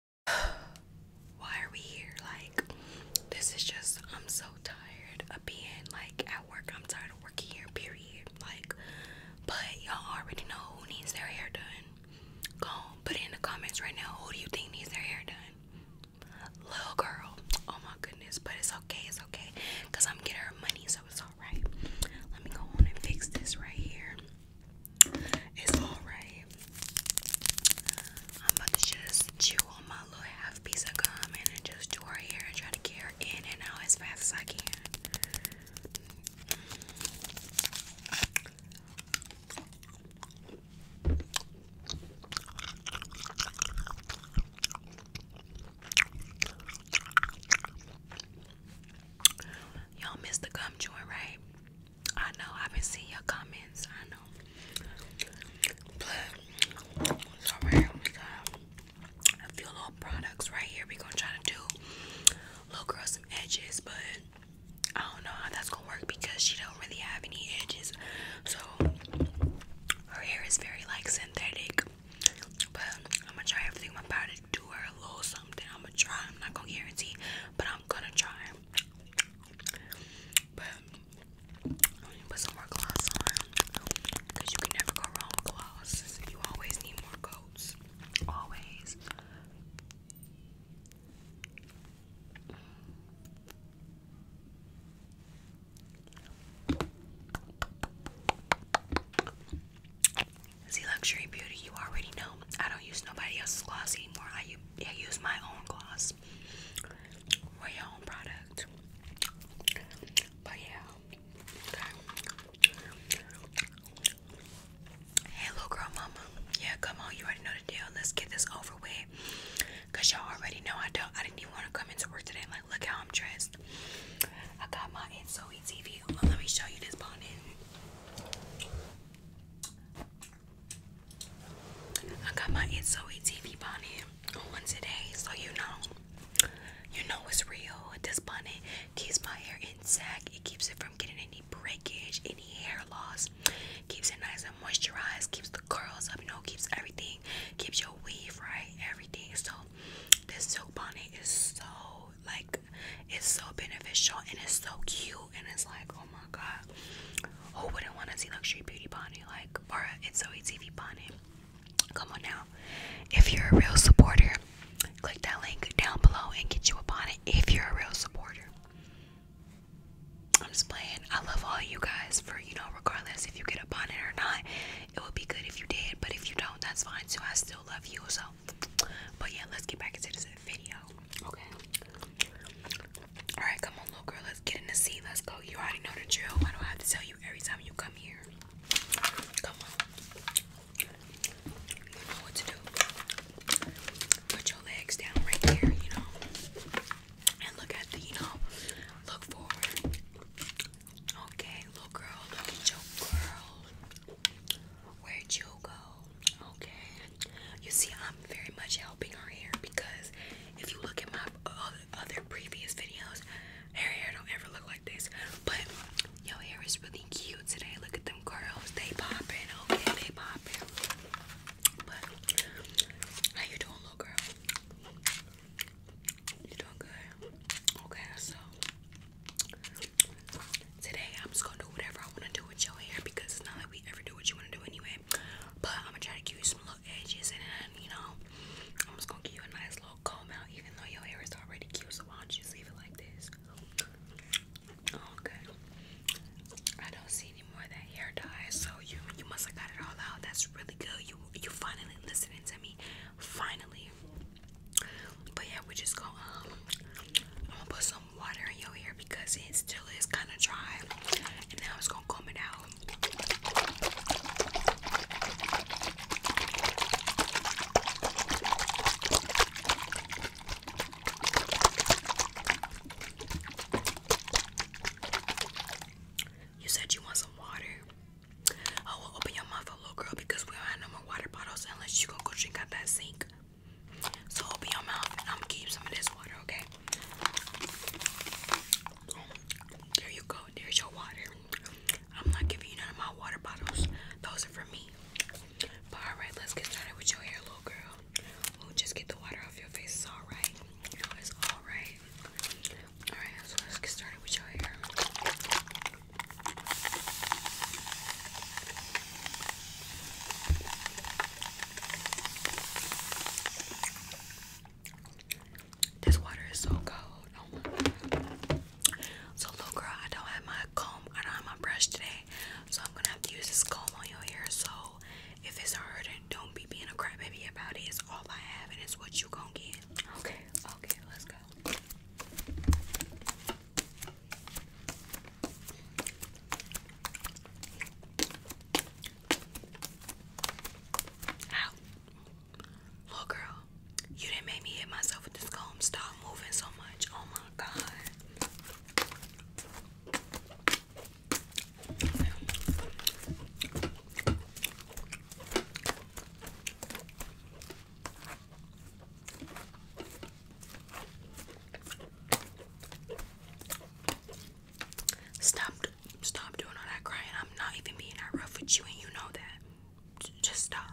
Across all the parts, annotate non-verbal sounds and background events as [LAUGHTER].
[SIGHS] why are we here? Like, this is just, I'm so tired of being like at work. I'm tired of working here, period. Like, but y'all already know who needs their hair done. Go put it in the comments right now. Who do you think needs their hair done? Little girl. Oh my goodness, but it's okay, it's okay. Cause I'm getting her money, so it's alright. Let me go on and fix this right here. It's alright. I'm about to just chew on my little half piece of gum and just do her hair and try to get her in and out as fast as I can. Y'all miss the gum joint, right? I know I've been seeing your comments. I know, so we got uh, a few little products right here. We gonna try to do little girl some edges, but I don't know how that's gonna work because she don't really have any edges. So her hair is very like synthetic. But I'm gonna try everything I'm about to do her a little something. I'm gonna try. I'm not gonna guarantee, but I'm gonna try. But when you put some more gloss on, you can never go wrong with gloss. You always need more coats. Always. See, Luxury Beauty, you already know. I don't use nobody else's gloss anymore. I use yeah, use my own gloss. Wear your own product. But yeah. Hey, little girl, mama. Yeah, come on. You already know the deal. Let's get this over with. Cause y'all already know I don't. I didn't even want to come into work today. I'm like, look how I'm dressed. I got my It's So TV. Well, let me show you this bonnet. I got my It's TV bonnet on today, so you know, you know it's real. This bonnet keeps my hair intact. It keeps it from getting any breakage, any hair loss. Keeps it nice and moisturized. Keeps the curls up. You keeps everything. Keeps your weave right. Everything. So this silk bonnet is so like it's so beneficial and it's so cute and it's like oh my god who wouldn't want to see luxury beauty bonnet like or it's so TV bonnet come on now if you're a real supporter click that link down below and get you a bonnet if you're a real supporter I'm just playing I love all you guys for you know regardless if you get a bonnet or not it would be good if you did but if you don't that's fine too I still love you so but yeah let's get back into this video okay Alright, come on, little girl. Let's get in the seat. Let's go. You already know the drill. I don't have to tell you every time you come here. Come on. You know what to do. Put your legs down right here, you know. And look at the, you know, look forward. Okay, little girl, look at your girl. Where'd you go? Okay. You see, I'm very much helping her hair because if you look at my other previous videos, her hair don't ever look like this. But your hair is really cute today. Look at them curls. They popping. Okay, they popping. But how you doing, little girl? You doing good? Okay, so today I'm just gonna do whatever I wanna do with your hair because it's not like we ever do what you wanna do anyway. But I'm gonna try to give you some little edges and then, you know, I'm just gonna give you a nice little comb out even though your hair is already cute. So why don't you just leave it like this? Oh, okay. I don't see any more of that hair dye, so you you must have got it all out. That's really good. You you finally listening to me. Finally. But yeah, we just gonna um, put some water in your hair because it still is kind of dry. And now it's gonna come it out. You said you want some water. I oh, will open your mouth a little girl because we don't have no more water bottles unless you gonna go drink out that sink. So open your mouth and I'm gonna keep some of this water, okay? There you go. There's your water. I'm not giving you none of my water bottles. Those are for me. But alright, let's get started with your hair, little girl. Ooh, just get the water off your face. It's alright. You know, it's alright. Alright, so let's get started with your hair. This water is so cold. Oh so, little girl, I don't have my comb. I don't have my brush today. So, I'm going to have to use this comb on your hair. So, if it's hurting, don't be being a crybaby about it. It's all I have and it's what you going to get. Okay, okay, let's go. Ow. Little girl, you didn't make me hit myself with this comb. Stop moving so much. Oh my god. Stop, stop doing all that crying. I'm not even being that rough with you, and you know that. Just stop.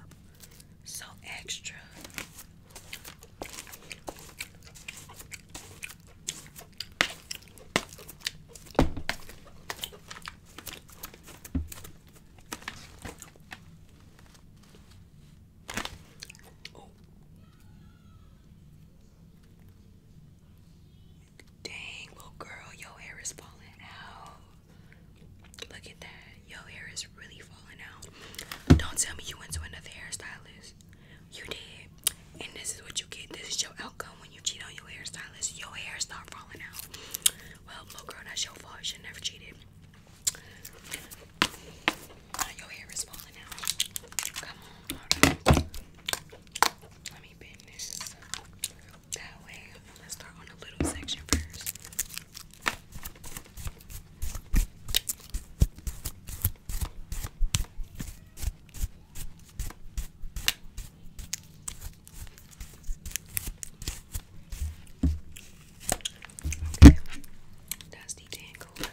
So extra. Dang, little girl, your hair is falling out. Look at that. Your hair is really falling out. Don't tell me you went to another hairstylist. You did. And this is what you get. This is your outcome when you cheat on your hairstylist. Your hair is not falling out. Well, little girl, that's your fault. You should never cheated. Your hair is falling out. Come on, Let me bend this that way. Let's start on the little section first. Okay, that's the tangle golden.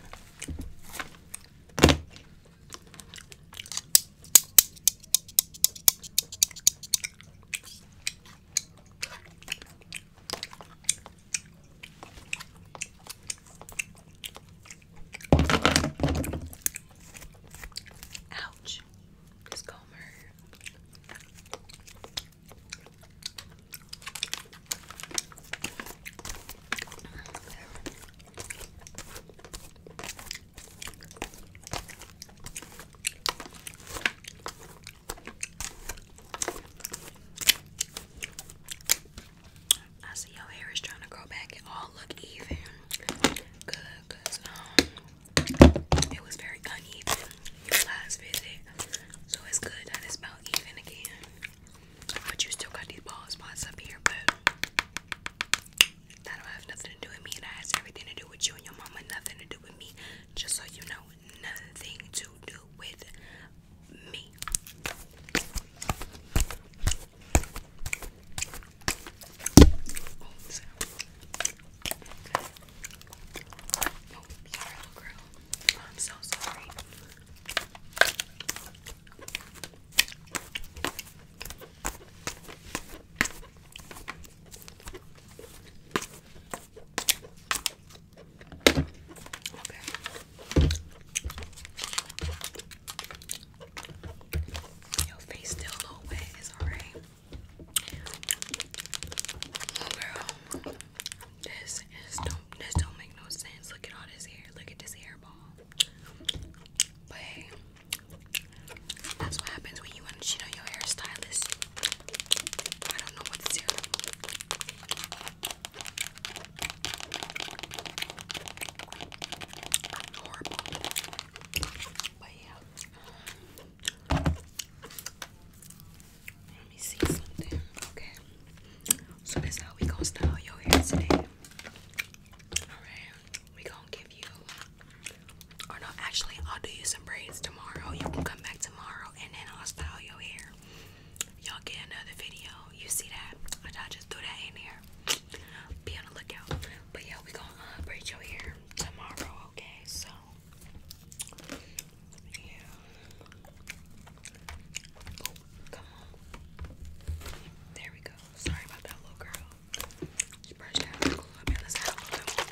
Ouch, Miss Comer. I see your hair is trying to grow back. It all look even. Good, cause um, it was very uneven your last visit, so it's good that it's about even again. But you still got these balls, spots up here, but that don't have nothing to do with me. That has everything to do with you and your mama, nothing to do with me. Just so you know, nothing to do with me. Oh, oh, I'm so sorry. Okay. Your face still a little wet, it's alright. Oh girl. This is don't this don't make no sense. Look at all this hair. Look at this hairball. But hey, that's what happens when you want to cheat on your hairstylist. I don't know what to But yeah. Let me see something. Okay. So that's how we gonna style your hair today. Alright. We going give you or no, actually I'll do you some braids tomorrow. You can come back tomorrow and then I'll style your hair. Y'all get another video. You see that? I just threw that in there. Be on the lookout. But yeah, we going uh, braid your hair tomorrow, okay? So yeah. Oh, come on. There we go. Sorry about that little girl. She out the glue up let's add a little bit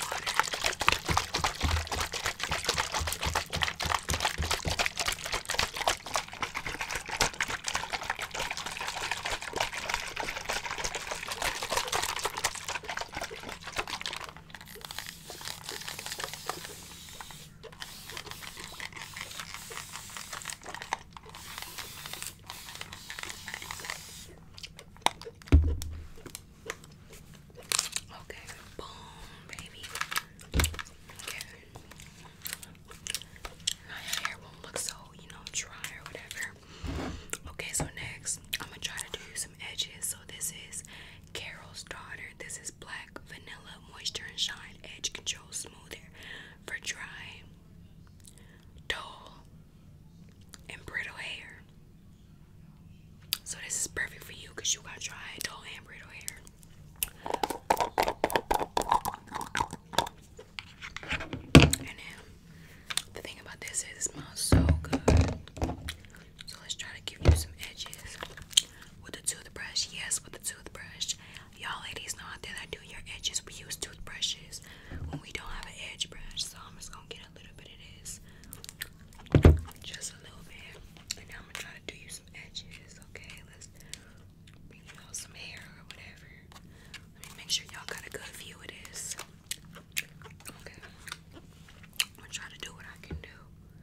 Okay, boom, baby. Okay. Now hair won't look so, you know, dry or whatever. Okay, so next I'm gonna try to do some edges. So this is Carol's daughter. This is black. Vanilla Moisture and Shine Edge Control Smoother for dry, dull, and brittle hair. So this is perfect for you because you got dry, dull, and brittle hair. And then the thing about this is it smells so good. So let's try to give you some edges with the toothbrush. Yes, with the toothbrush. Y'all ladies know out there that do your edges. We use toothbrushes when we don't have an edge brush. So I'm just gonna get a little bit of this. Just a little bit. And now I'm gonna try to do you some edges. Okay, let's do some hair or whatever. Let me make sure y'all got a good view of this. Okay. I'm try to do what I can do.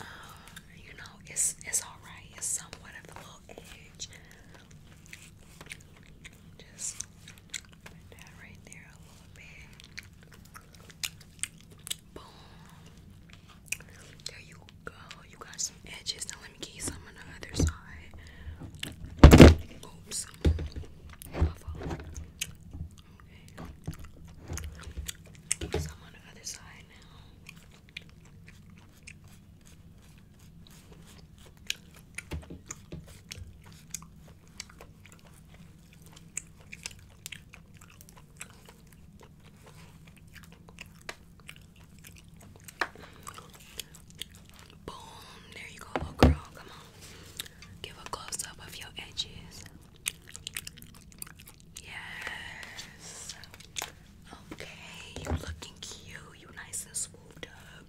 Uh, you know, it's it's all right. It's somewhat of a little edge. Just put that right there a little bit. Boom. There you go. You got some edges. Now let me get some on the other side. Oops. Okay. Some on the other side now. Boom, there you go, little girl. Come on. Give a close up of your edges. Yes. Okay, you looking cute. You nice and swooped up.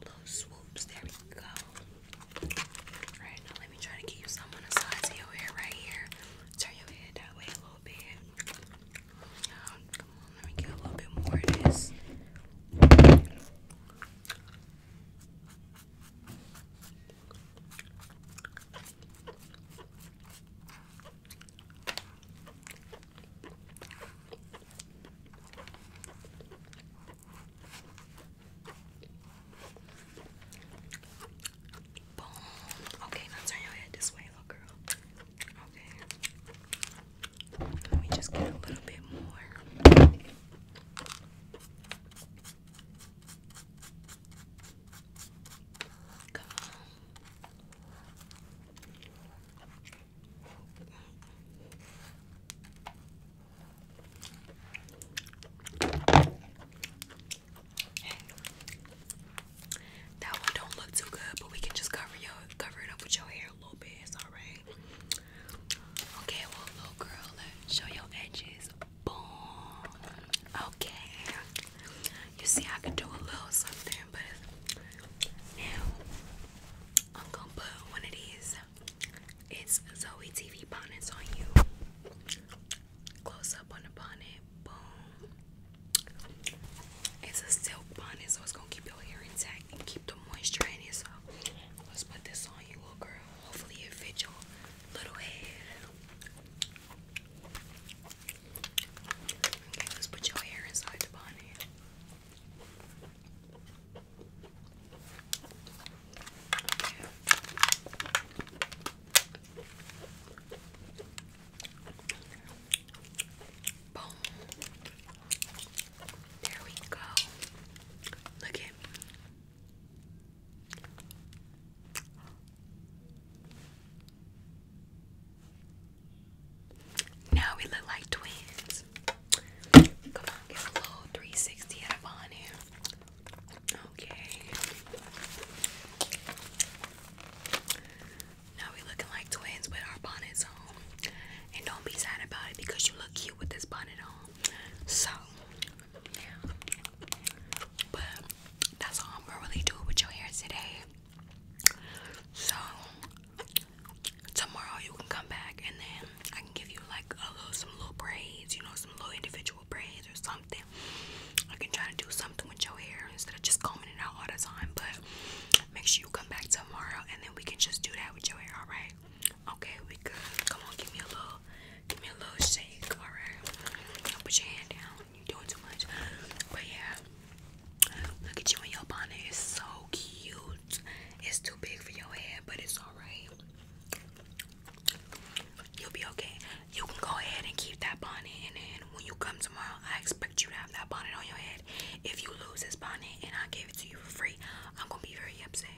Little swoops. There we go. Right now, let me try to get you some on the sides of your hair right here. Turn your head that way a little bit. come on, let me get a little bit more of this. Boom. Okay, now turn your head this way, little girl. Okay. Let me just get a little bit more. Come on. That one don't look too good, but we can just cover your cover it up with your hair a little bit. It's alright. Okay, well, little girl, show your edges. Boom. Okay. You see, I can do a little something, but now I'm gonna put one of these. It's Zoe TV bonnets on you. Close up on the bonnet. Boom. It's a silk bonnet, so it's gonna keep your hair intact and keep the moisture in So let's put this on you, little girl. Hopefully, it fits your Okay, let's put your hair inside the bonnet. Boom. There we go. Look at now we look like twins. Come on, get a little 360 out of on Okay. Now we looking like twins with our bonnets on. And don't be sad about it because you look cute with this bonnet on. So but that's all I'm really do with your hair today. So tomorrow you can come back and then I can give you like a little some little braids, you know, some little individual braids or something. I can try to do something with your hair instead of just combing it out all the time. But make sure you come back tomorrow and then we can just do that with your hair, alright? Okay, we good. Come on, give me a little, give me a little shake. All right, put your hand down. You're doing too much. But yeah, look at you in your bonnet. It's so cute. It's too big for your head, but it's all right. You'll be okay. You can go ahead and keep that bonnet, and then when you come tomorrow, I expect you to have that bonnet on your head. If you lose this bonnet and I gave it to you for free, I'm gonna be very upset.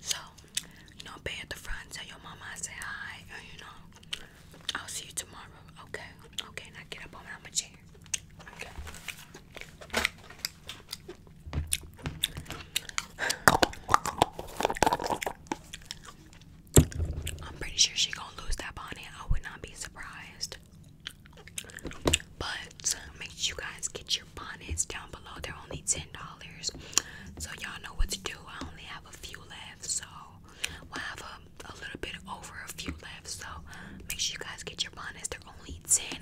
So you know, pay at the front, tell your mama I say hi, uh, you know, I'll see you tomorrow. Okay, okay, now get up on my chair. I'm pretty sure she gonna lose that bonnet. I would not be surprised. But make sure you guys get your bonnets down below. They're only $10. So y'all know what to do. I only have a few left. So we have a, a little bit over a few left. So make sure you guys get your bonnets. They're only $10.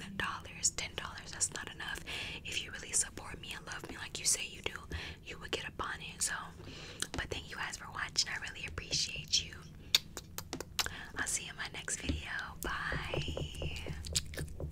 $10. That's not enough. If you really support me and love me like you say you do, you would get a bonnet. So, but thank you guys for watching. I really appreciate you. I'll see you in my next video. Bye.